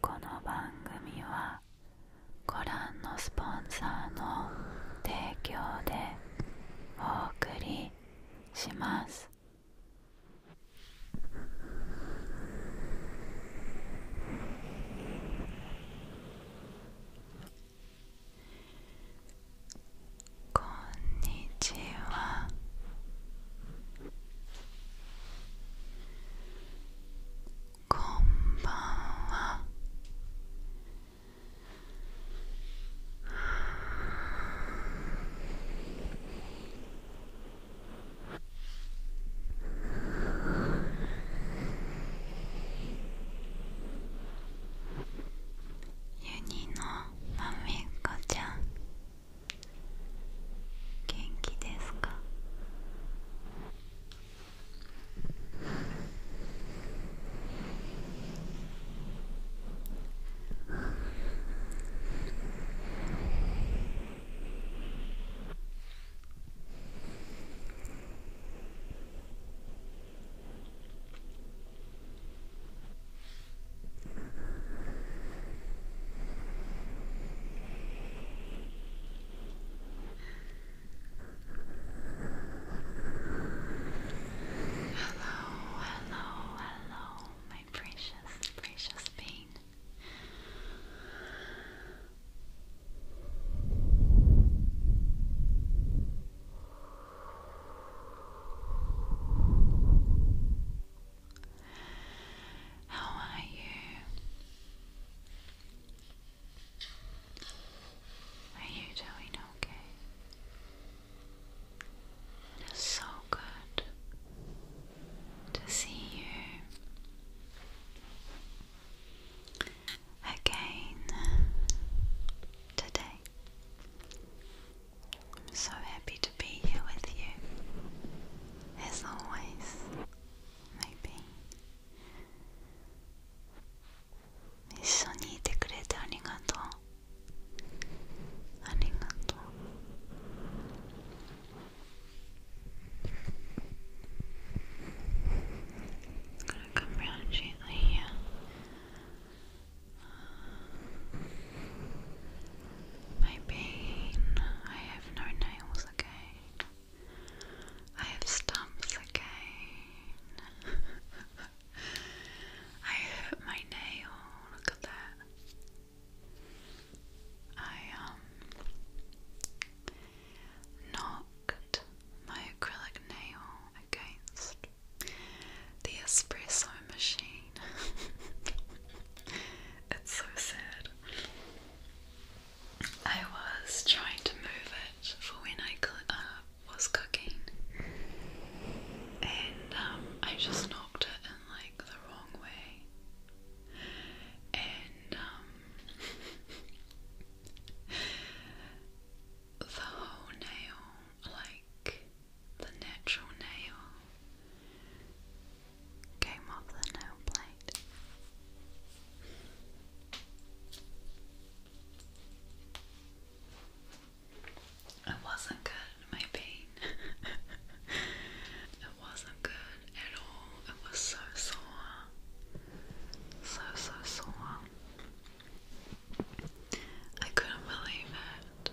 この番組はご覧のスポンサーの提供でお送りしますこんにちはこんばんはユニのまめこちゃん元気ですか Hello, hello, hello, my precious, precious pain. How are you? Are you doing okay? It is so good to see you again today. I'm so happy to be here with you, as always, maybe. to come round gently here. My I have no nails again. I have stumps again. I hurt my nail. Look at that. I um, knocked my acrylic nail against the espresso machine. it's so sad. I was trying to move it for when I uh, was cooking, and um, I just knocked it in like the wrong way. And um, the whole nail, like, the natural nail came off the nail plate. It wasn't good, my pain. it wasn't good at all. It was so sore. So, so sore. I couldn't believe it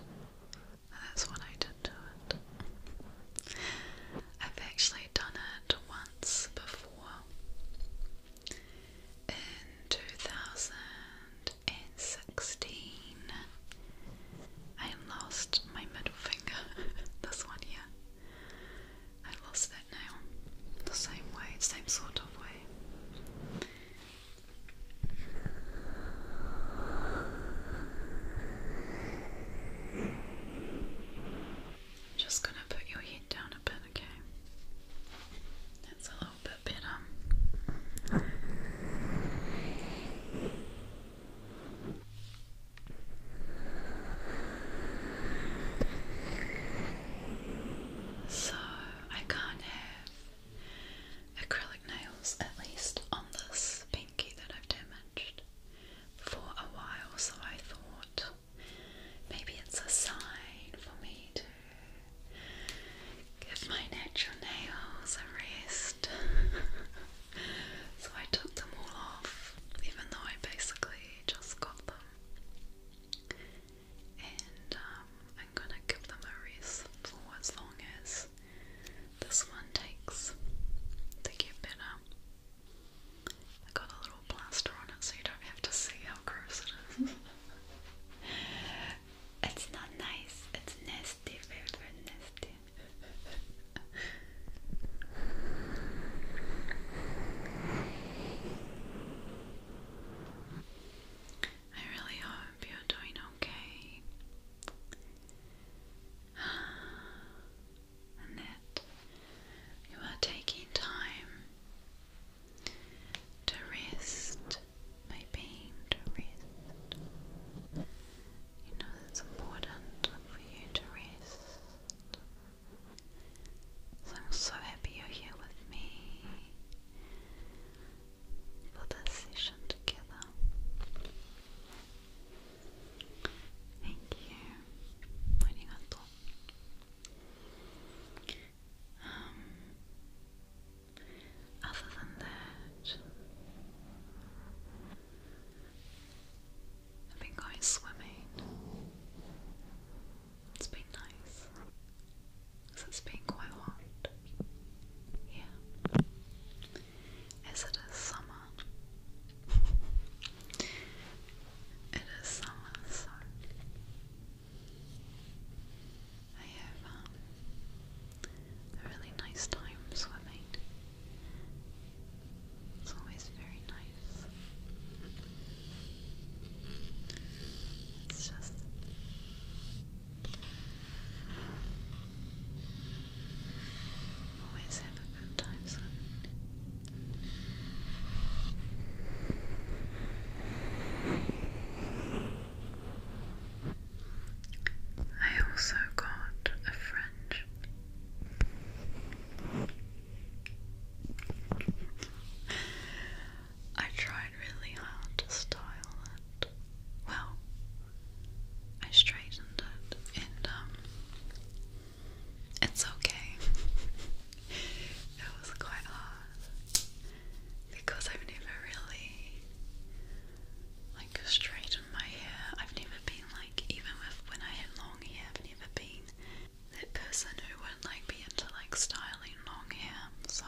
that's what I did to it. I've actually done it once before in 2016. I lost my middle finger, this one here. I lost that nail the same way, same sort of way. Just gonna put your head down a bit, okay? That's a little bit better. So I can't have acrylic nails, at least on this pinky that I've damaged for a while, so I thought maybe it's a sign for me to give my natural nails a rest. so I took them all off, even though I basically just got them. And um, I'm gonna give them a rest for as long as this one takes to get better. I got a little plaster on it so you don't have to see how gross it is. it's not nice, it's nasty, very, very nasty. I really hope you're doing okay and that you are taking time to rest, my pain to rest. You know it's important for you to rest. So I'm so happy you're here with me for this session together. Thank you. Arigato. Um, other than that, I've been going swimming. It's been nice. Cause it's been quite hot. Yeah. Is it a summer? it is summer, so I have um, a really nice time swimming. It's always very nice. It's just Always have a good time, I also got a French. I tried really hard to style well, I straightened it, and um, it's okay. it was quite hard because I've never really like straightened my hair. I've never been like, even with when I had long hair, I've never been that person who would like be into like styling long hair. So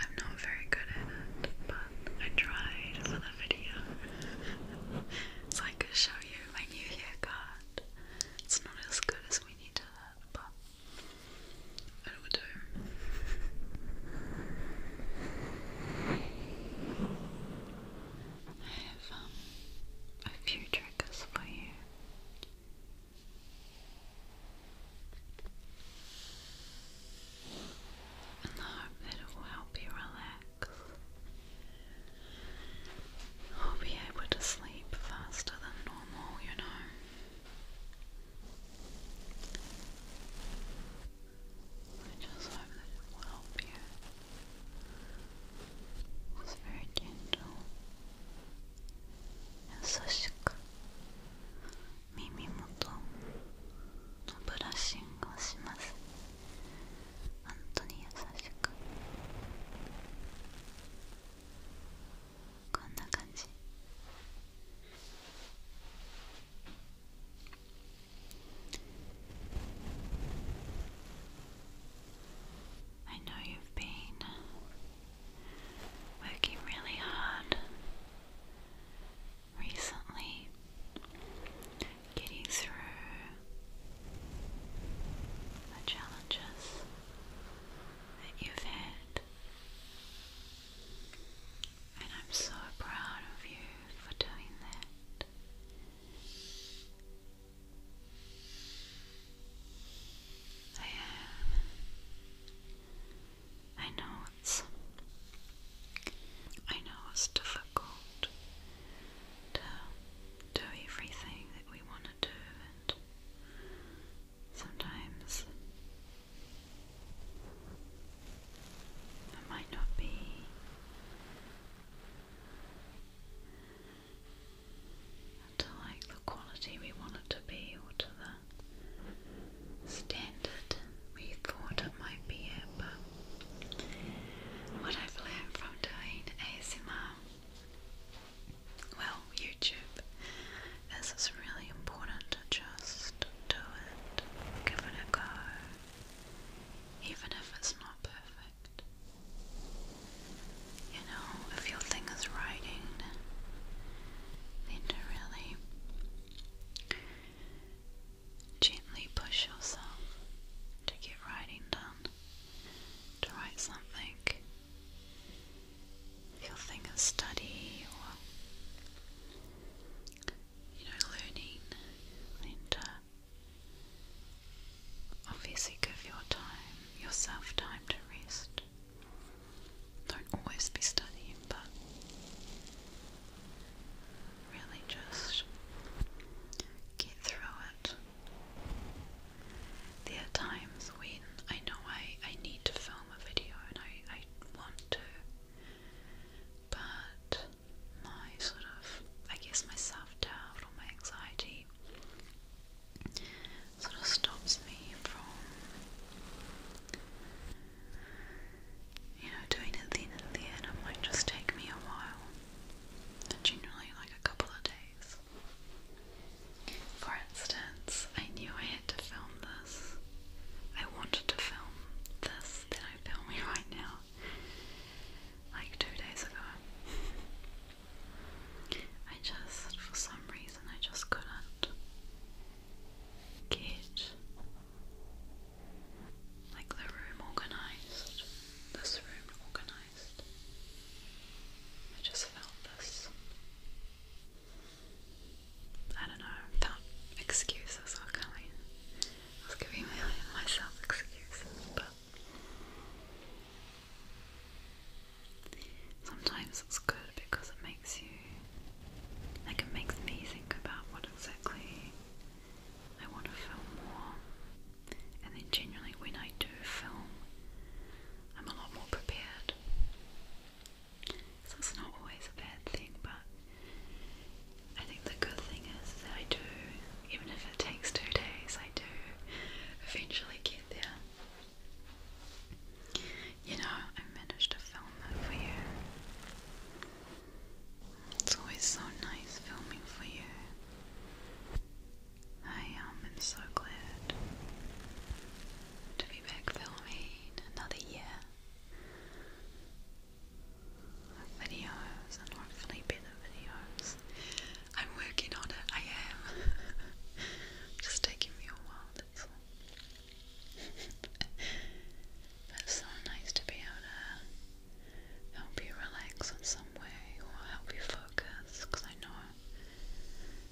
I'm not very good at it, but I tried for the video. so I could show you my new haircut. It's not as good as we need to but it will do. I have um, a few triggers for you and I hope that it will help you relax. I'll be able to sleep faster than normal, you know. I just hope that it will help you. It's very gentle and so 耳元のブラッシングをします本当に優しくこんな感じ I know you've been working really hard recently, getting through the challenges that you've had. And I'm so proud of you for doing that. I am I know it's I know it's difficult to do everything that we want to do and sometimes it might not be to like the quality we want to be or to the standard we thought it might be it, but what I've learned from doing ASMR, well, YouTube, is really important just do it, give it a go, even if it's not perfect. You know, if your thing is writing, then to really Gently push yourself to get writing done, to write something. If your thing is study or you know learning, then to obviously give your time, yourself time to rest. Don't always be studying, but really just get through it. There are times when I know I, I need to film a video and I, I want to, but my sort of, I guess, my self doubt or my anxiety sort of stops me from you know, doing it then and then it might just take me a while. Generally, like a couple of days. For instance, I knew I had to film this. I wanted to film this that I'm filming right now, like two days ago. I just, for some reason, I just couldn't get like the room organized, this room organized. I just felt this. I don't know, felt excuses coming. I was giving myself excuses, but sometimes it's good because it makes you like it makes me think about what exactly I want to film more. And then generally when I do film, I'm a lot more prepared. So it's not always a bad thing, but I think the good thing is that I do, even if it takes two days, I do eventually get there. You know, I managed to film it for you. It's always so nice filming for you. I um, am so glad to be back filming another year videos and hopefully better videos. I'm working on it, I am. Just taking me a while, that's all. it's so nice to be able to help you relax in some way or help you focus because I know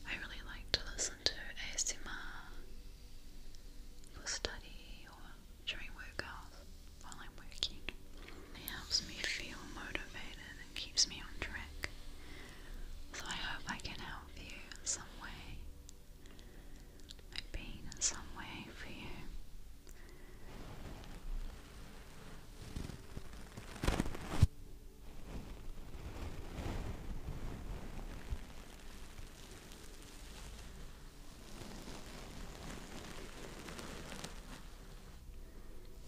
I really like to listen to ASMR for study or during workouts while I'm working. It helps me feel motivated and keeps me on track. So I hope I can help you in some way. I've in some way for you.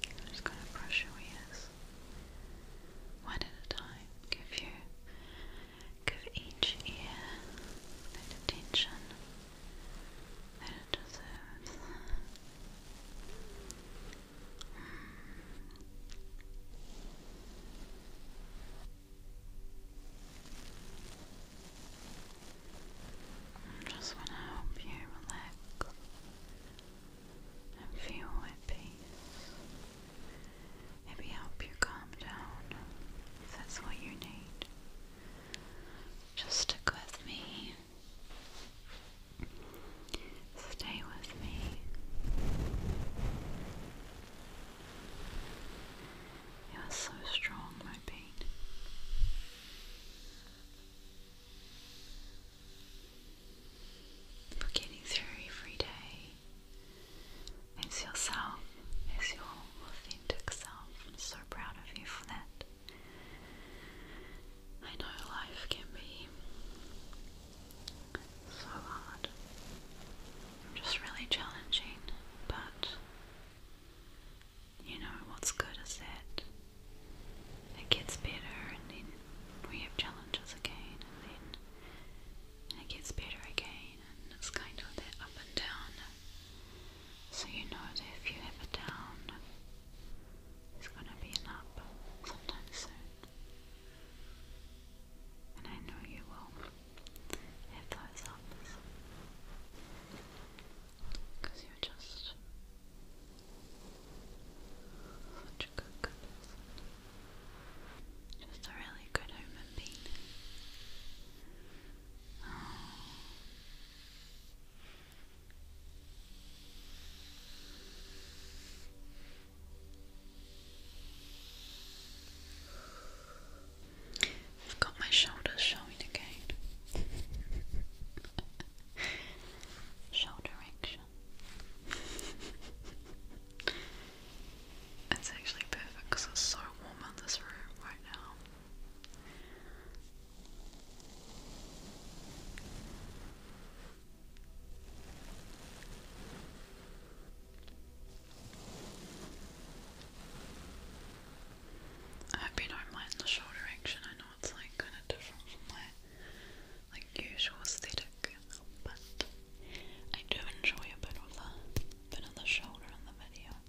I'm just going to brush your ears one at a time, give you Give each ear that attention it deserves. I just want to help you relax and feel at peace maybe help you calm down if that's what you need. Just stick with me. Stay with me. You are so strong, my bean. We're getting through every day. It's yourself, it's your authentic self. I'm so proud of you for that. I know life can be so hard, just really challenging, but you know what's good is that it gets better and then we have challenges again and then it gets better again and it's kind of the up and down. So you know that if you have a down, it's gonna be an up sometime soon. And I know you will have those ups. Because you're just such a good, Just a really good human being. I've got my shoulders showing again. Shoulder action. It's actually perfect because it's so warm in this room right now. I hope you do the shoulder action. I know it's like kind of different from my like usual aesthetic, but I do enjoy a bit of that vanilla shoulder on the video.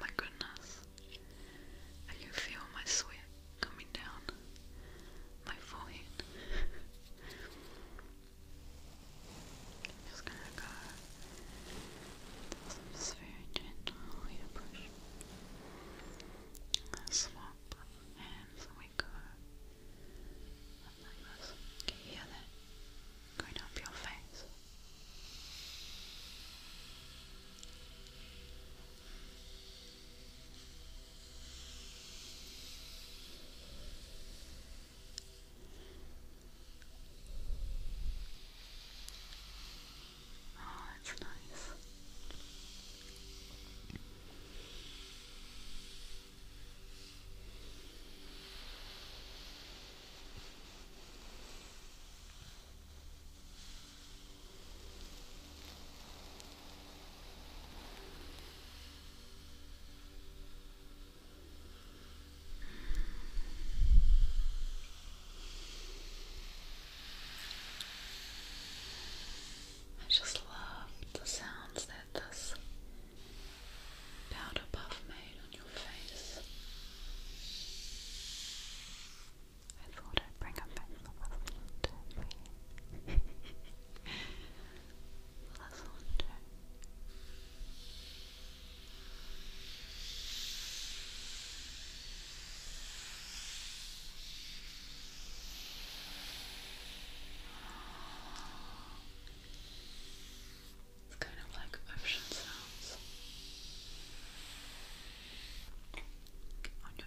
my goodness, I can feel my sweat coming down my forehead. just gonna go. This very gentle. Here, brush swap hands we go up like this. Can you hear that? Going up your face. Oh, that's nice. I just love the sounds that this powder puff made on your face. I thought i bring a pencil with me it's kind of like ocean sounds on your ear. Good.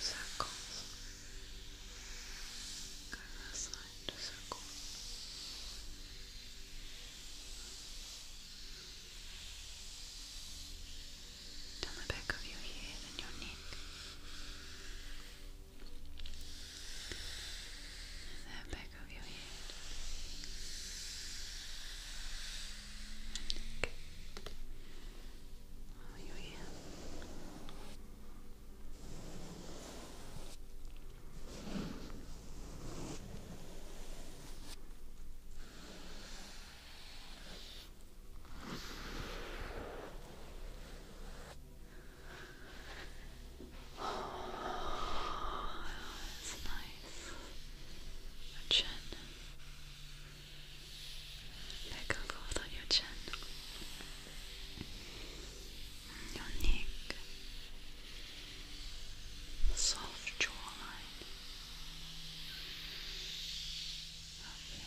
circles. Go this side to circle. Down the back of your head and your neck the back of your head. Okay. Oh, your ear. Oh, nice. chin. Pick on your chin. Your Soft jawline. Up here.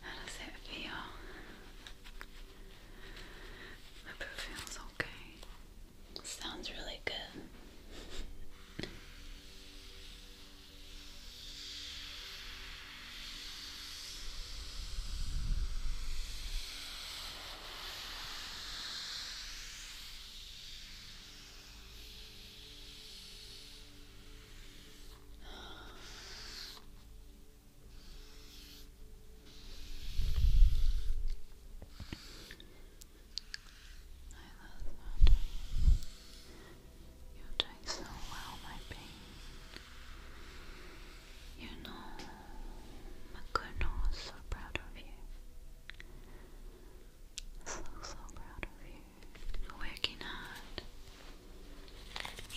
How does it feel? I feels okay. Sounds really good. You're doing so well, my pain. You know, Makuno is so proud of you. So, so proud of you working hard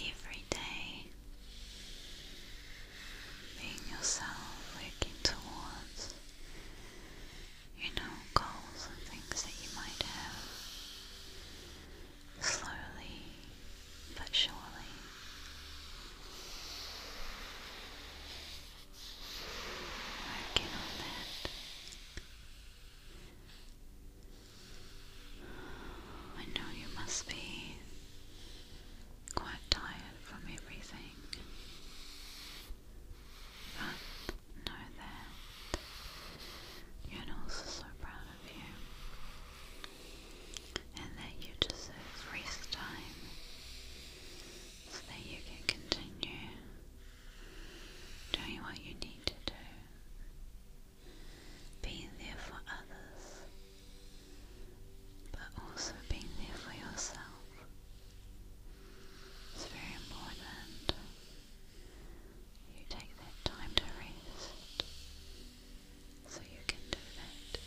every day, being yourself, working towards, you know, goals and things that you might have slowly but surely. Working on that I know you must be quite tired from everything, but know that Yonel's is so proud of you and that you deserve rest time so that you can continue Doing what you need to do. being there for others, but also being there for yourself. It's very important you take that time to rest so you can do that.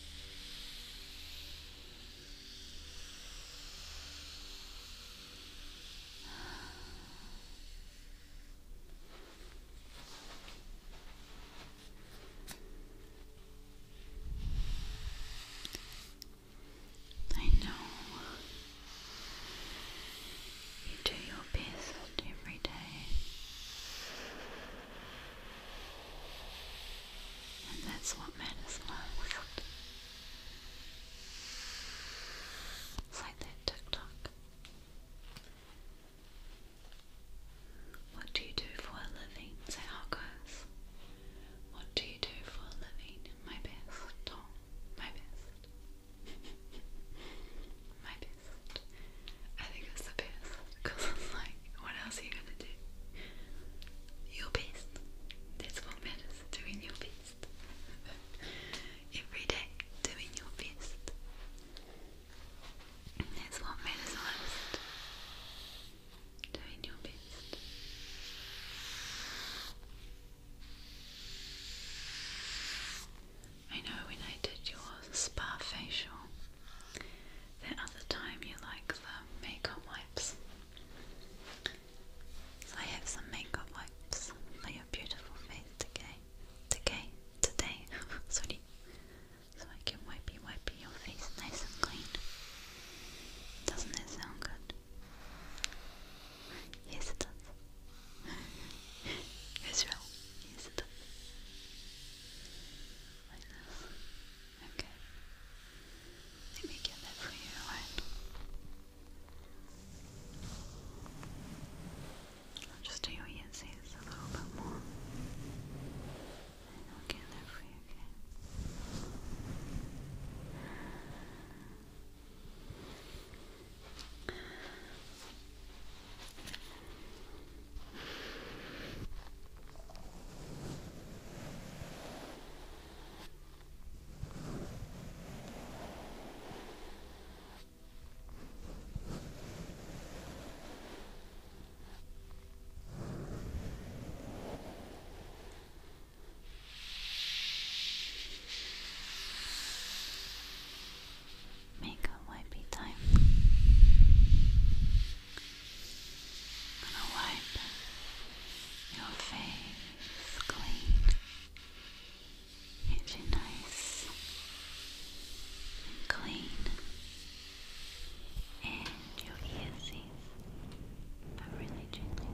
I know you do your best every day, and that's what matters most that TikTok. What do you do for a living? Say how goes. What do you do for a living? My best, Tom. My best. My best. I think it's the best because it's like, what else are you gonna do? Your best. That's what matters. Doing your best. Every day doing your best. That's what matters most. Doing your best. I know when I did your spa facial, that other time you like the makeup wipes. So I have some makeup wipes for your beautiful face today. Today, today. Sorry. So I can wipe you, your face nice and clean. Doesn't that sound good? Yes, it does. Yes, it does. Like this. Okay. Let me get that for you, alright? i just do your earsies a little bit more. And there for you, Makeup wipey time. gonna wipe your face clean. Get you nice and clean, and your earsies are really jingling.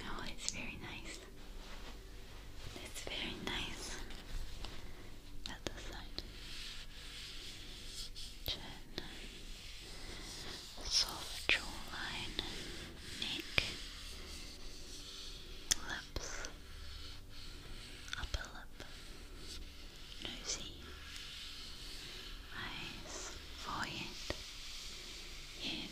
Oh, it's very nice. It's very nice. That side soft jawline, neck, lips, upper lip, nosy, eyes, forehead, head.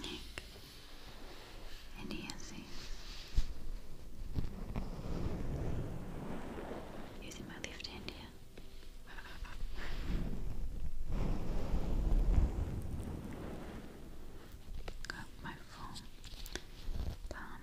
Neck, and dancing using my left hand here. Got my full palm.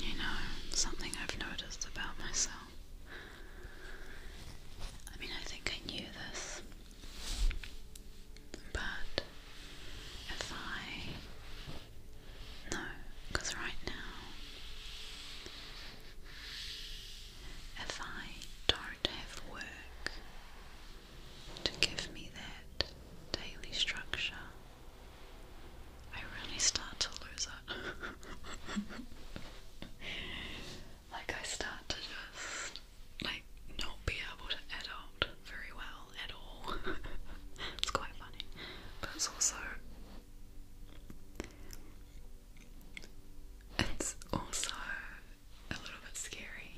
You know, something I've noticed about myself I mean, I think I knew this, but if I. No, because right now, if I don't have work to give me that daily structure, I really start to lose it. like, I start to just, like, not be able to adult very well at all. it's quite funny. But it's also. It's also a little bit scary.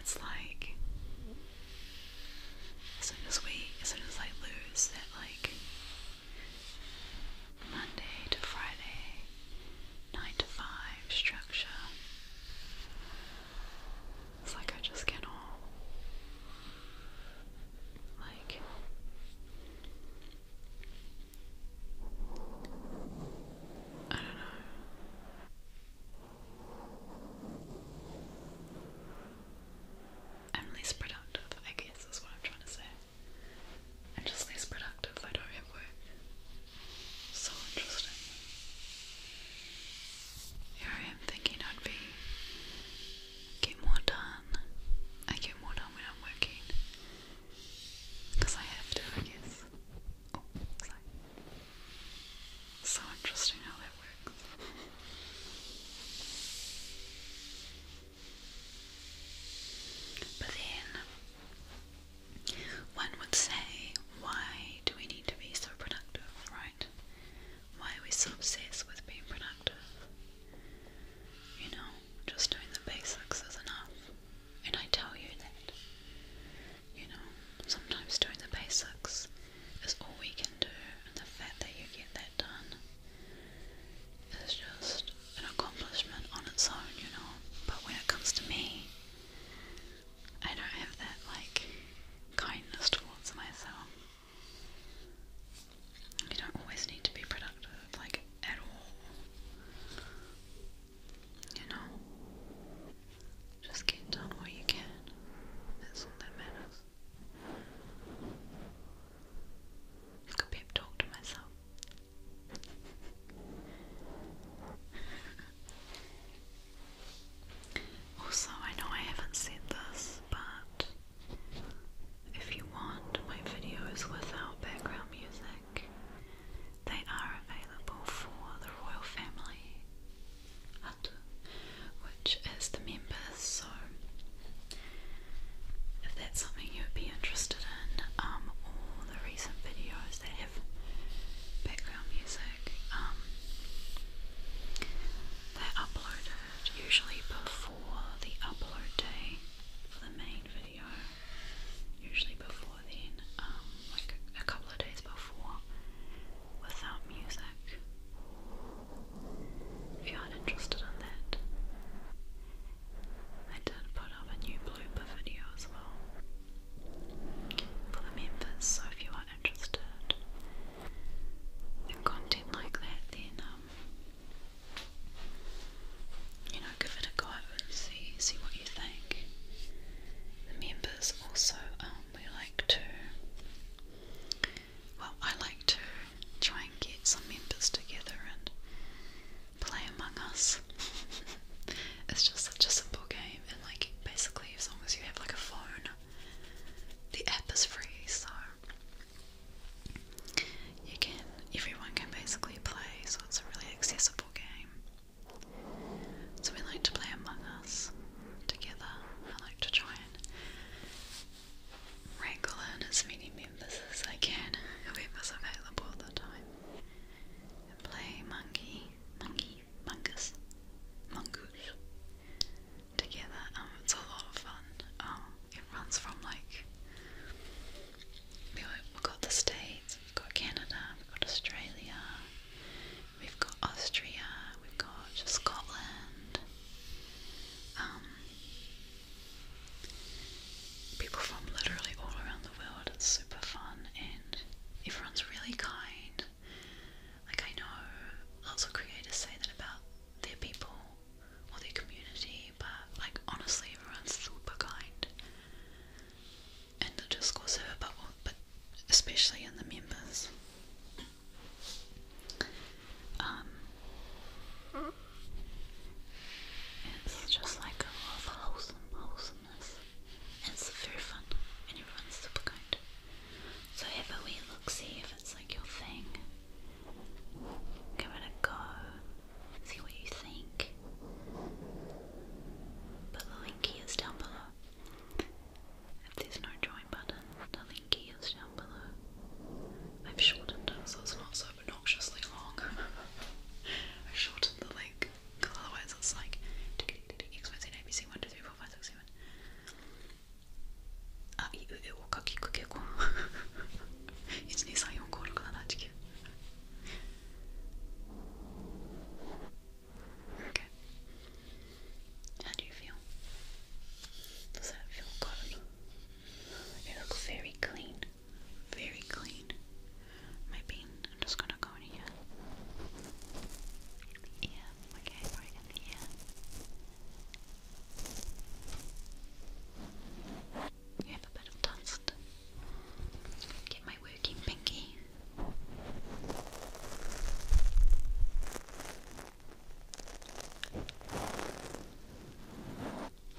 It's like as soon as we as soon as I lose that like Monday to Friday, 9 to 5 structure. It's like I just cannot. Like. I don't know. I'm less productive, I guess, is what I'm trying to say i just less productive if I don't work. So interesting. Here I am thinking I'd be get more done. I get more done when I'm working. Because I have to, I guess. Oh, so interesting how that works. But then, one would say, why do we need to be so productive, right? Why are we so obsessed with being productive? You know, just doing the basics is enough. And I tell you that. You know, sometimes doing the basics is all we can do, and the fact that you get that get done is just an accomplishment on its own, you know. But when it comes to me, I don't have that like kindness towards myself. You don't always need to be productive, like at all. You know, just get done what you can. That's all that matters. It's got a to myself. also, I know I haven't said this, but if you want my videos without background music, they are available for the royal family, which is the members so if that's something you would be interested in, um, all the recent videos that have background music, um, they're uploaded usually before the upload day for the main video, usually before then, um, like a couple of days before, without music if you aren't interested in that. I did put up a new blooper video as well for the members, so if you are interested in content like that, then um, you know, give it a go and see see what you think. The members also um, we like to well, I like to try and get some members together and play Among Us. it's just such a simple game, and like basically, as long as you have like a phone, the app is free, so you can everyone can basically play. So it's a really accessible game. So we like to play Among Us together. I like to try and wrangle in as many members as I can, whoever's available at the time, and play monkey, monkey, mongoose, mongoose together. Um, it's a lot of fun. Um, it runs from like we've got the States, we've got Canada, we've got Australia, we've got Austria, we've got Scotland. Um, people from literally all around the world. It's super fun and everyone's really kind. Like, I know lots of creators say that about their people or their community, but like, honestly, everyone's super kind in the Discord server, but, but especially in the members. Um, it's just like a lot wholesome, wholesomeness. It's very fun, and everyone's super kind. So if a look, see if it's like your thing. Give it a go, see what you think. But the link is down below. If there's no join button, the link is I've shortened it so it's not so obnoxiously long. i shortened the link because otherwise it's like Okay. How do you feel? Does that feel good? It looks very clean, very clean. My pin, I'm just gonna go in here. Yeah, okay, right in here. You have a bit of dust. Get my working pinky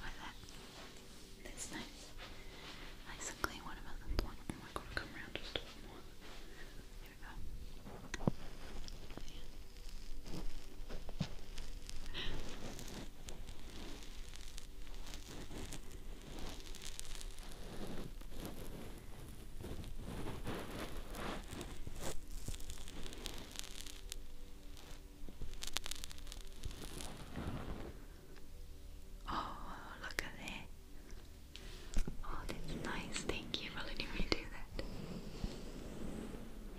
like that. That's nice. Nice and clean. What about the point? Oh my god, come around just we go. Yeah. Oh, look at that. Oh, that's nice. Thank you for letting me do that.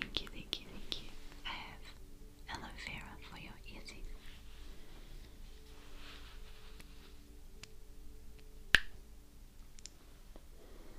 Thank you, thank you, thank you. I have aloe vera for your easy.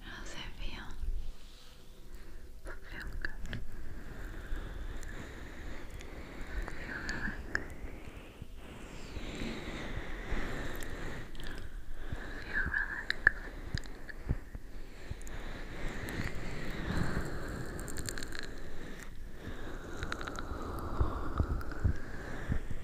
How's it feel? Feel good. Feel really good. Feel really good. Feel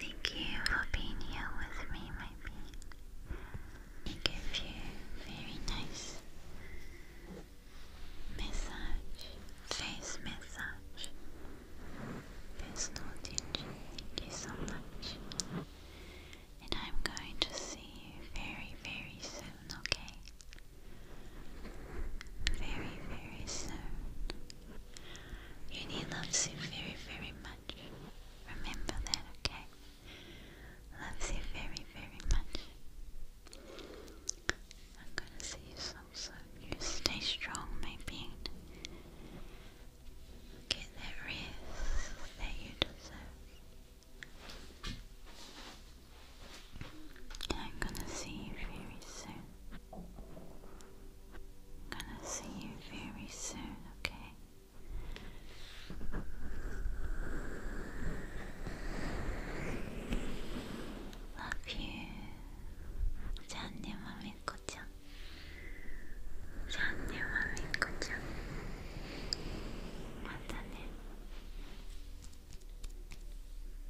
Thank you for being here with me, my bee. I give you very nice massage, face massage, personal attention. And I'm going to see you very, very soon, okay? Very, very soon. You need love so very, very Remember that, okay? Loves you very, very much. I'm gonna see you so You stay strong, my being. Get that rest that you deserve. I'm gonna see you very soon. I'm gonna see you very soon, okay? Love you. じゃんねまめっこちゃん。じゃんねまめっこちゃん。またね。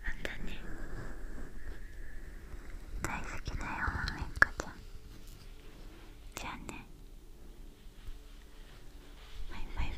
またね。大好きだよまめっこちゃん。じゃあねバ